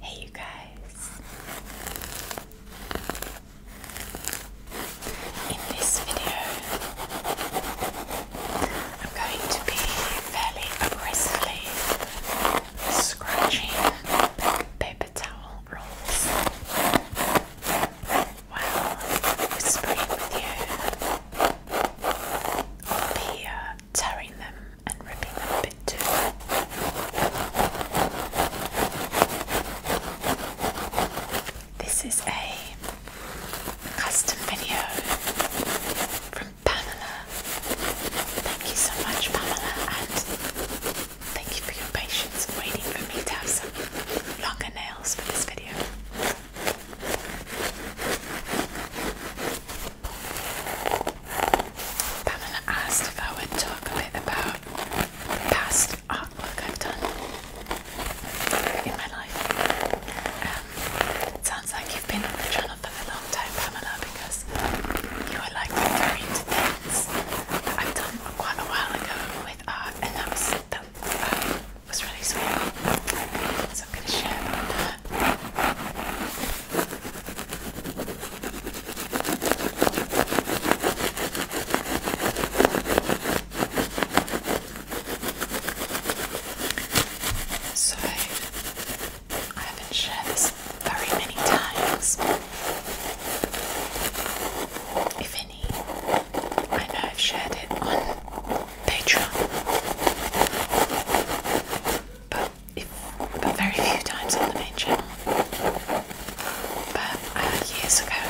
Hey, you guys. In this video, I'm going to be fairly aggressively scratching paper towel rolls while whispering with you, or be uh, tearing them and ripping them bit too. This is a custom video from Pamela. Thank you so much, Pamela, and thank you for your patience waiting for me to have some longer nails for this video video. Pamela asked if I would talk a bit about past artwork I've done in my life. Um, it sounds like you've been on the channel for a long time, Pamela, because you were like very into things that I've done quite a while ago with art, and that was uh, was really sweet. So I'm gonna share that. So I haven't shared this very many times. If I know I've shared it on Patreon, but, very few times on the main channel. But uh, years ago,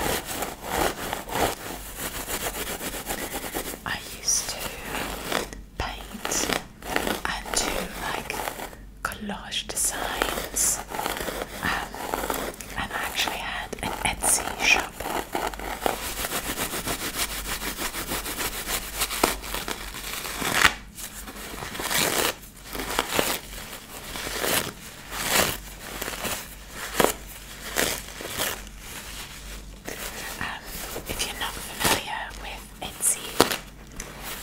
I used to paint and do like collage designs. Um, and I actually had an Etsy shop. Um, if you're not familiar with Etsy,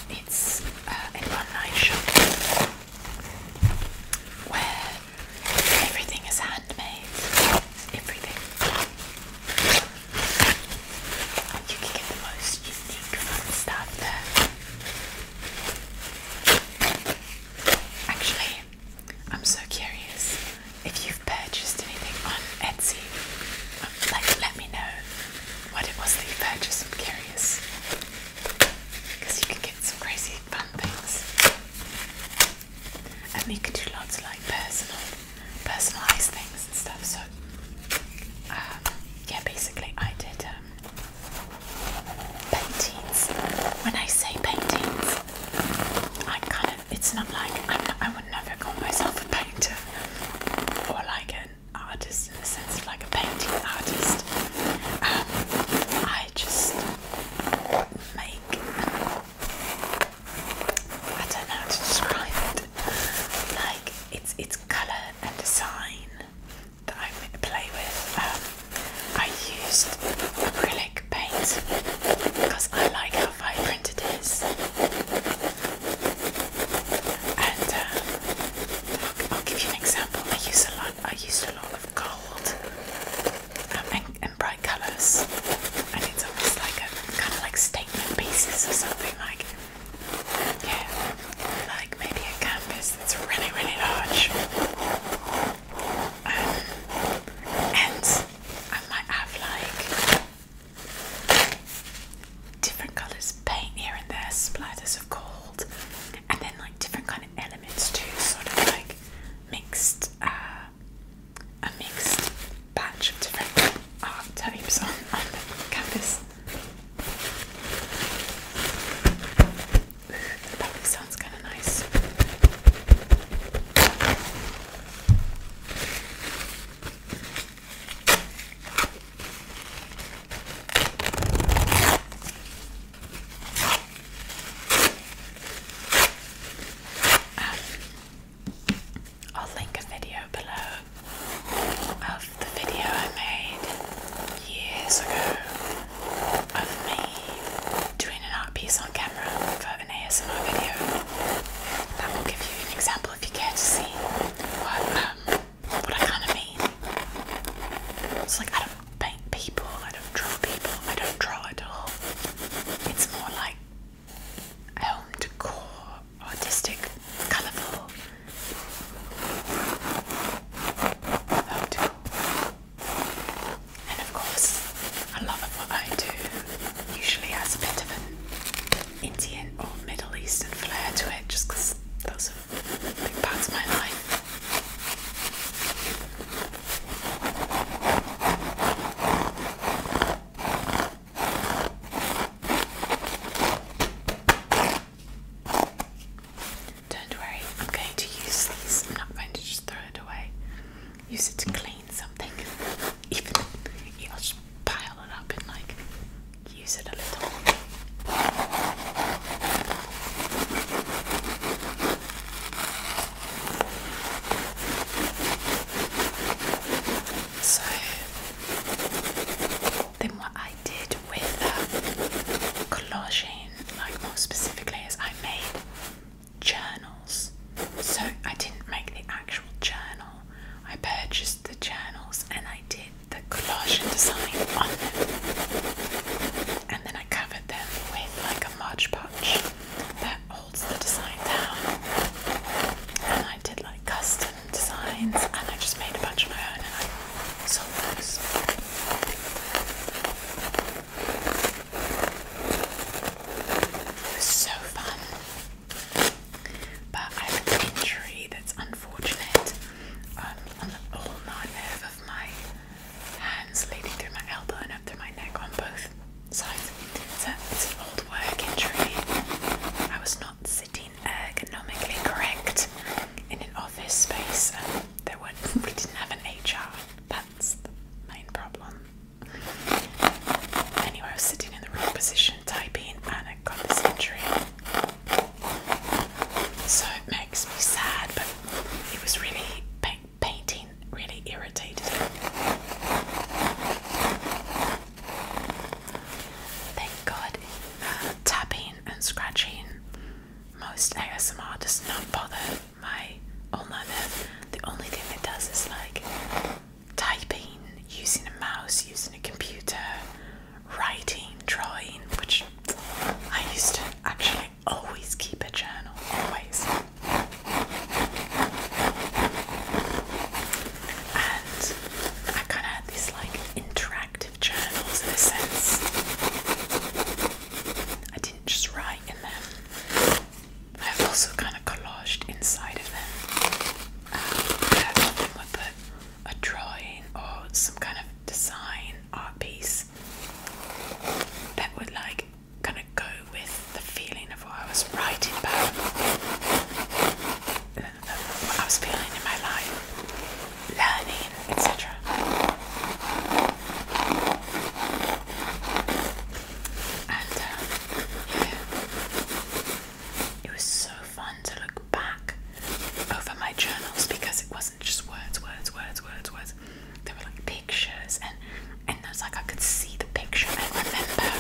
it's uh, online shop where everything is handmade. Everything. And you can get the most unique stuff there. Actually, I'm so curious if you've purchased anything on Etsy. Um, like, let me know what it was that you purchased. I'm curious. Because you can get some crazy fun things. And you can do lots of like personal, personalised things and stuff. So, um, yeah, basically, I did um, paintings. When I say paintings, I kind of, it's not like I'm not, I would never call myself a painter or like an artist in the sense of like a painting artist. Um, I just make I don't know how to describe it. Like it's it's colour and design that I play with. Um, I used acrylic paint because I like how vibrant it is. And um, I'll, give you an example. I use a lot. I used a lot of of and, bright colours. And it's almost like a kind of like statement pieces or something like yeah, like maybe a canvas that's really really large. Um, and I might have like different colours paint here and there, splatters of gold, and then like different kind of elements too, sort of like mixed, uh, a mixed batch of different art types on, on the canvas. That probably sounds kind of nice. Um, I'll link a video below of the video I made years ago of me doing an art piece on camera for an ASMR video. That will give you an example if you care to see what um, what I kind of mean. It's like I don't paint people, I don't draw people, I don't draw at all. It's more like home decor, artistic, colourful. Home And of course, a lot of what I do usually has a bit of an Indian or Middle Eastern flair to it, just because those are big parts of my life. Don't worry, I'm going to use these. I'm not going to just throw it away. Use it to clean something. Even you'll just pile it up and like use it a little. So then what I did with um, collaging, like more specifically, is I made journals. So I didn't make the actual journal. I purchased the journals and I did the collage and design on them. And then I covered them with like a Mod Podge that holds the design down. And I did like custom designs and I just made a bunch of my own and I sold those. It was so fun. But I have an injury that's unfortunate. on the whole nightmare of my hands leading through my elbow and up through my neck on both sides. So it's an old work injury. I was not sitting ergonomically correct in an office space. Um, there weren't, we didn't have an HR. That's the main problem. Anyway, I was sitting in the wrong position, typing, in panic on this injury. So it makes me sad, but it was really pain painting really irritated him. Thank God, uh, tapping and scratching, most ASMR does not bother my old The only thing it does is like typing, using a mouse, using a computer, writing, drawing, which I used to actually always keep a journal, always. And I kind of had these like interactive journals in a sense. I didn't just write in them, i also kind of collaged inside of them. Um, I have them with a drawing or some kind of design art piece that would like kind of go with the feeling of what I was writing about, uh, what I was feeling in my life, learning, etc. And uh, yeah, it was so fun to look back over my journals because it was not just words, words, words, words, words. There were like pictures and and there's like I could see the picture and remember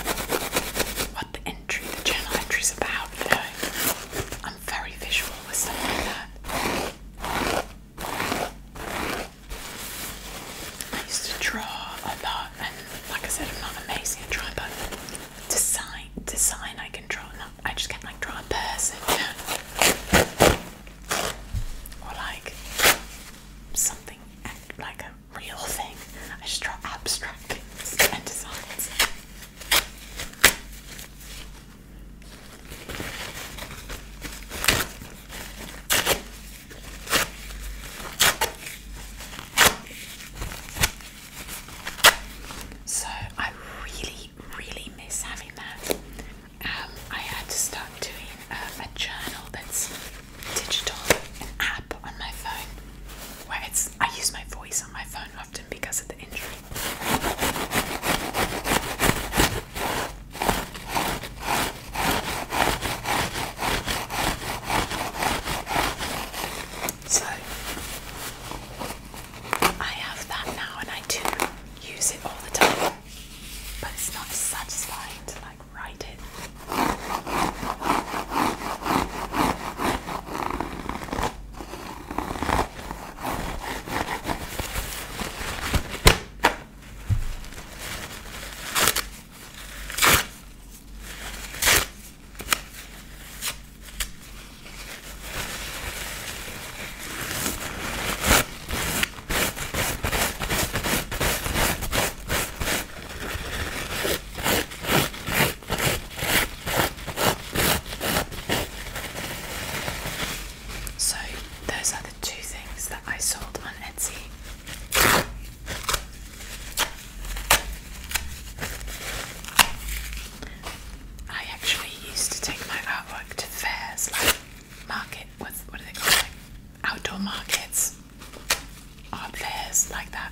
what the entry, the journal is about, you know. I'm very visual with stuff like that. I used to draw a lot and like I said I'm not amazing at drawing but design design I can draw I just can't like draw a person, or like something like a real thing. I just draw abstract and designs. So I really, really miss having that. Um, I had to start doing um, a journal that's digital, an app on my phone, where it's I use my voice on my phone often because of the injury. So I have that now and I do use it all the time but it's not satisfying to like write it. So, those are the two things that I sold on Etsy. I actually used to take my artwork to fairs like market, what's, what are they called? Like outdoor markets, art like that,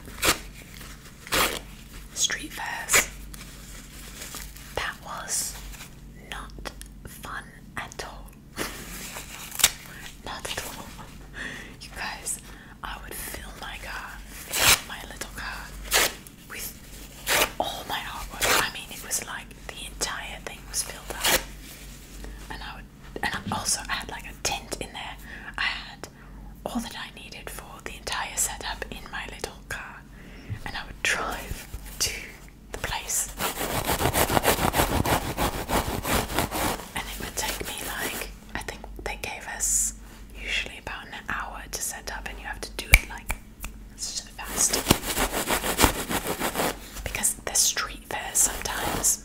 street fairs. That was not fun at all. not at all. You guys, I would fill my car, fill my little car with all my artwork. I mean, it was like the entire thing was filled up. And I would, and I also had like a tent in there. I had all that I needed for the entire setup in my little car, and I would drive to the place. And it would take me like I think they gave us usually about an hour to set up, and you have to do it like it's just fast. Because the street fairs sometimes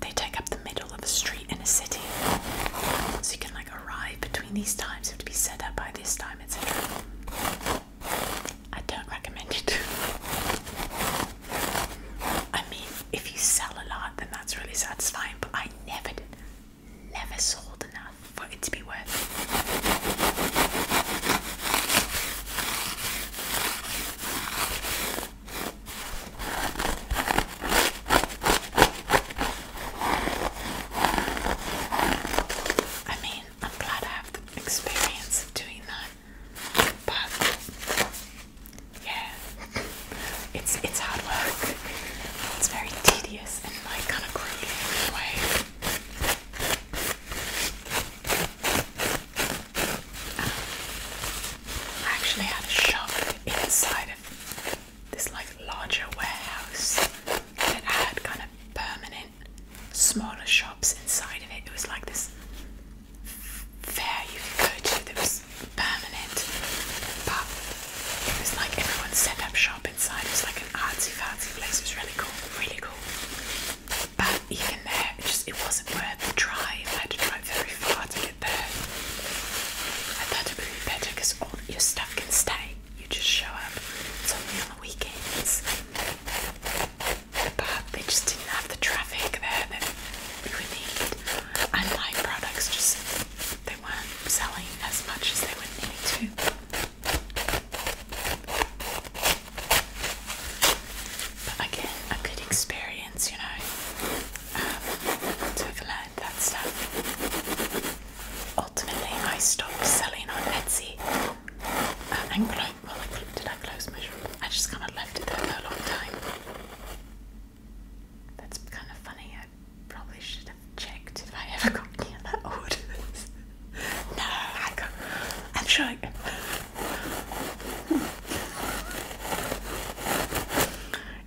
they take up the middle of a street in a city. So you can like arrive between these times, you to be set up by this time, etc. I don't recommend it. I mean, if you sell a lot, then that's really satisfying, but I never Never sold enough. I mean, I'm glad I have the experience of doing that, but yeah, it's it's hard work. It's very tedious and my kind of grueling in a way. I actually had a shop inside of this like larger warehouse that had kind of permanent smaller shops inside of it. It was like this fair you could go to that was permanent, but it was like everyone set up shop inside. It was like an artsy fartsy place. It was really cool, really cool but even there, it just it wasn't worth the drive. I had to drive very far to get there. I thought it would be better because all your stuff can stay. You just show up. It's only on the weekends. But they just didn't have the traffic there that we would need. And my products just they weren't selling as much as they would need to. But again, a good experience, you know, to um, have that stuff. Ultimately, I stopped selling on Etsy uh, and closed. Well, did I close my shop? I just kind of left it there for a long time. That's kind of funny. I probably should have checked if I ever got any other orders. No, I can, I'm sure.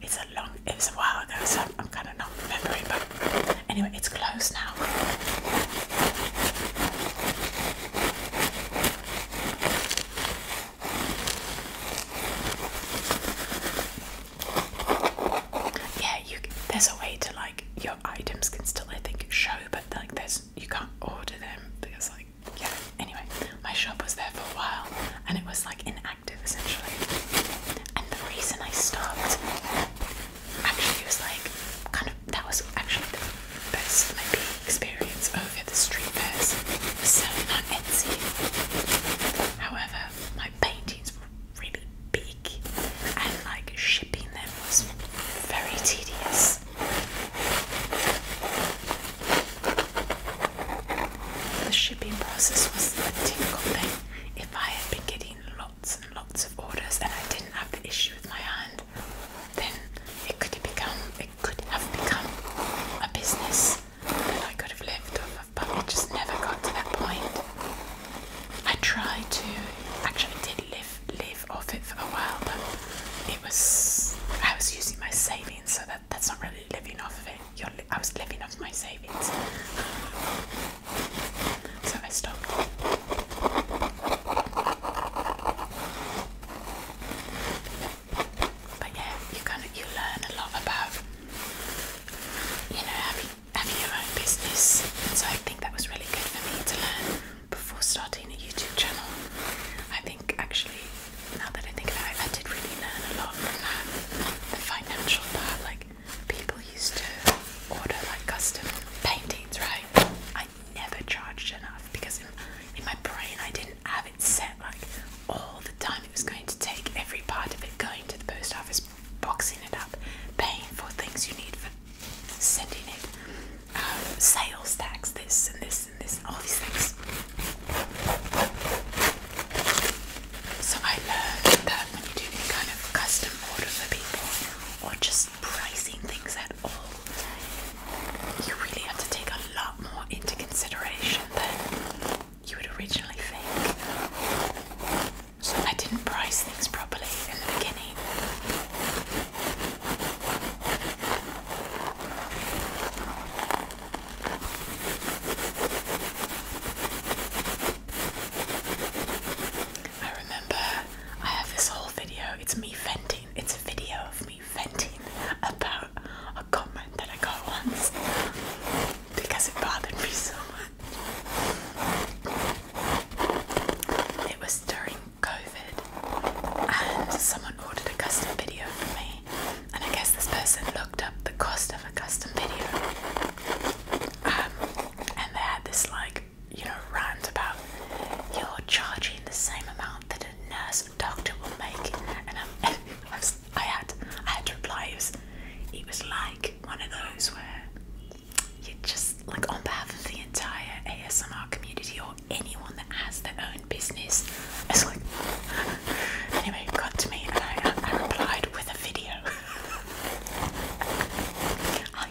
It's a long, it was a while ago, so I'm kind of not remembering. But anyway, it's closed now. Yeah, you. There's a way to like your items can still, I think, show but but like this, you can't order them because like yeah. Anyway, my shop was there for a while and it was like inactive essentially. And the reason I stopped actually was like kind of that was actually the best maybe experience over the street fairs So not Etsy. However, my paintings were really big and like shipping them was very tedious. The shipping process was the difficult thing. If I had been getting lots and lots of orders and I didn't have the issue with my hand, then it could have become it could have become a business and I could have lived off of, but it just never got to that point. I tried to actually did live live off it for a while, but it was I was using my savings, so that that's not really living off of it. I was living off my savings, so I stopped. But yeah, you kind of you learn a lot about you know having having your own business, so I think that was really good for me to learn before starting a YouTube channel. I think actually, now that I think about it, I did really learn a lot from that. The financial part, like people used to order like custom paintings, right? I never charged enough because in, in my brain I didn't have it set like all the time it was going to take every part of it going to the post office, boxing it up, paying for things you need for sending it um, sales tax, this and this and this, all these things. So I learned that when you do any kind of custom order for people or just pricing things at all, you really have to take a lot more into consideration than you would originally think. So I didn't price I remember I have this whole video, it's me venting, it's a video of me venting about a comment that I got once because it bothered me so much. It was during COVID, and someone ordered a custom video for me. And I guess this person looked up the cost of a custom video, um, and they had this like, you know, rant about you're charging the same amount that a nurse or doctor will make. And i I had, I had to reply. It was, it was like one of those where you are just like on behalf of the entire ASMR community or anyone that has their own business. It's like anyway, it got to me and I, I replied with a video. I,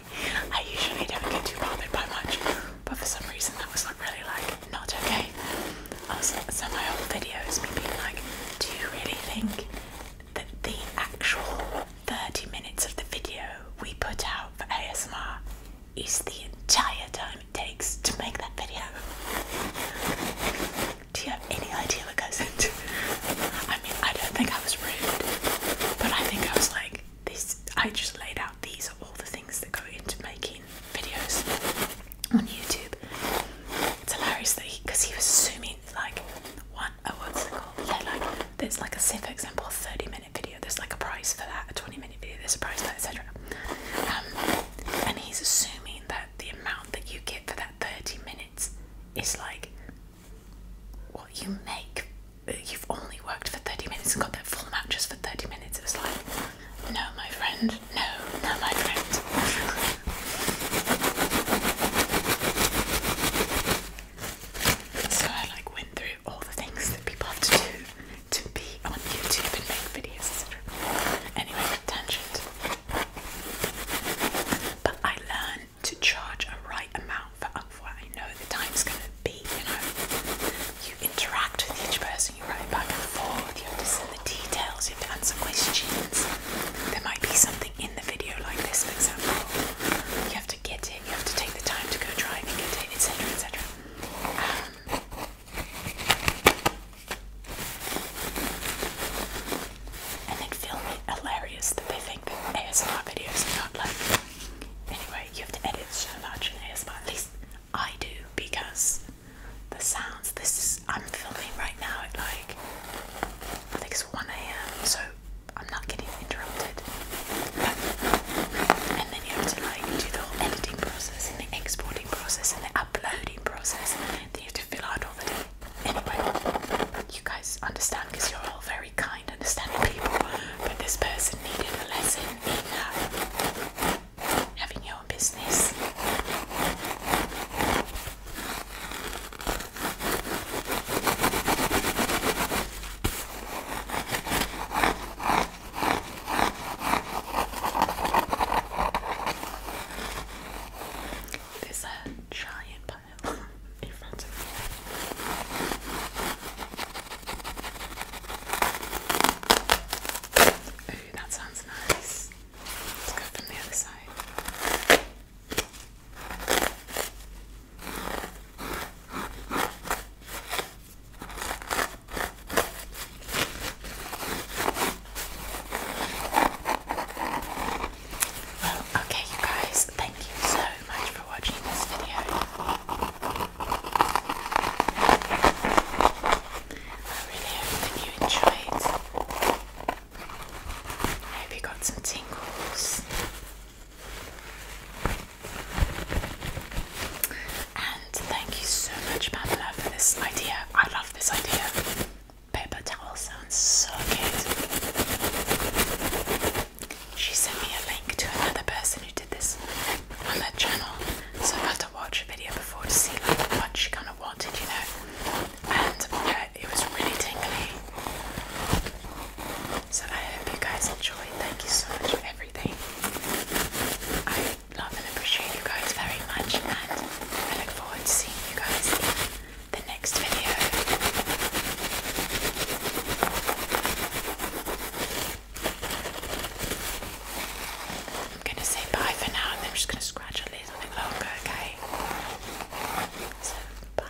I usually don't get too bothered by much, but for some reason that was like really like not okay. I was, so my whole video is me being like, do you really think that the actual 30 minutes of the video we put out for ASMR is the entire time it takes to make that video. Do you have any idea what goes into I mean, I don't think I was rude, but I think I was like, "These." I just laid out these are all the things that go into making videos on YouTube. It's hilarious that because he, was zooming like one, oh, what's it called? Yeah, like there's like a say for example a 30 minute video, there's like a price for that, a 20 minute video, there's a price for that, etc. Um, and he's assuming that the amount that you get for that 30 minutes is like what you make. You've only worked for 30 minutes and got that full match just for 30 minutes. It was like, no, my friend, no, no, my friend. So I like went through all the things that people have to do to be on YouTube and make videos, Anyway, tangent. But I learned to charge a right amount for what I know the time's gonna be, you know. You interact with each person, you write back and forth, you have to send the details, you have to answer questions. There might be something in the video like this, for example. You have to get it, you have to take the time to go drive get it, etc. etc. and then film it hilarious that they think that ASMR videos are not like. Anyway, you have to edit so much in ASMR, at least I do, because the sounds, this is, I'm filming right now at like, I think it's 1am, so I'm not getting interrupted. And then you have to like do the whole editing process and the exporting process and the uploading process. Then you have to fill out all the Anyway, you guys understand because you're all very kind, understanding people. But this person needed a lesson in uh, having your own business. There's a giant pile in front of me. Oh, that sounds nice. Let's go from the other side. Well, okay, you guys, thank you so much for watching this video. I really hope that you enjoyed. hope you got some tingles. And thank you so much, Pamela, for this idea. I love this idea. Paper towel sounds so good. She sent me a link to another person who did this on their channel, so I had to watch a video before to see like what she kind of wanted, you know. And uh, it was really tingly. So I hope you guys enjoyed. Thank you so much for everything. I love and appreciate you guys very much, and I look forward to seeing you guys in the next video. I'm gonna say bye for now, and I'm just gonna scratch a little bit longer, okay? So, bye.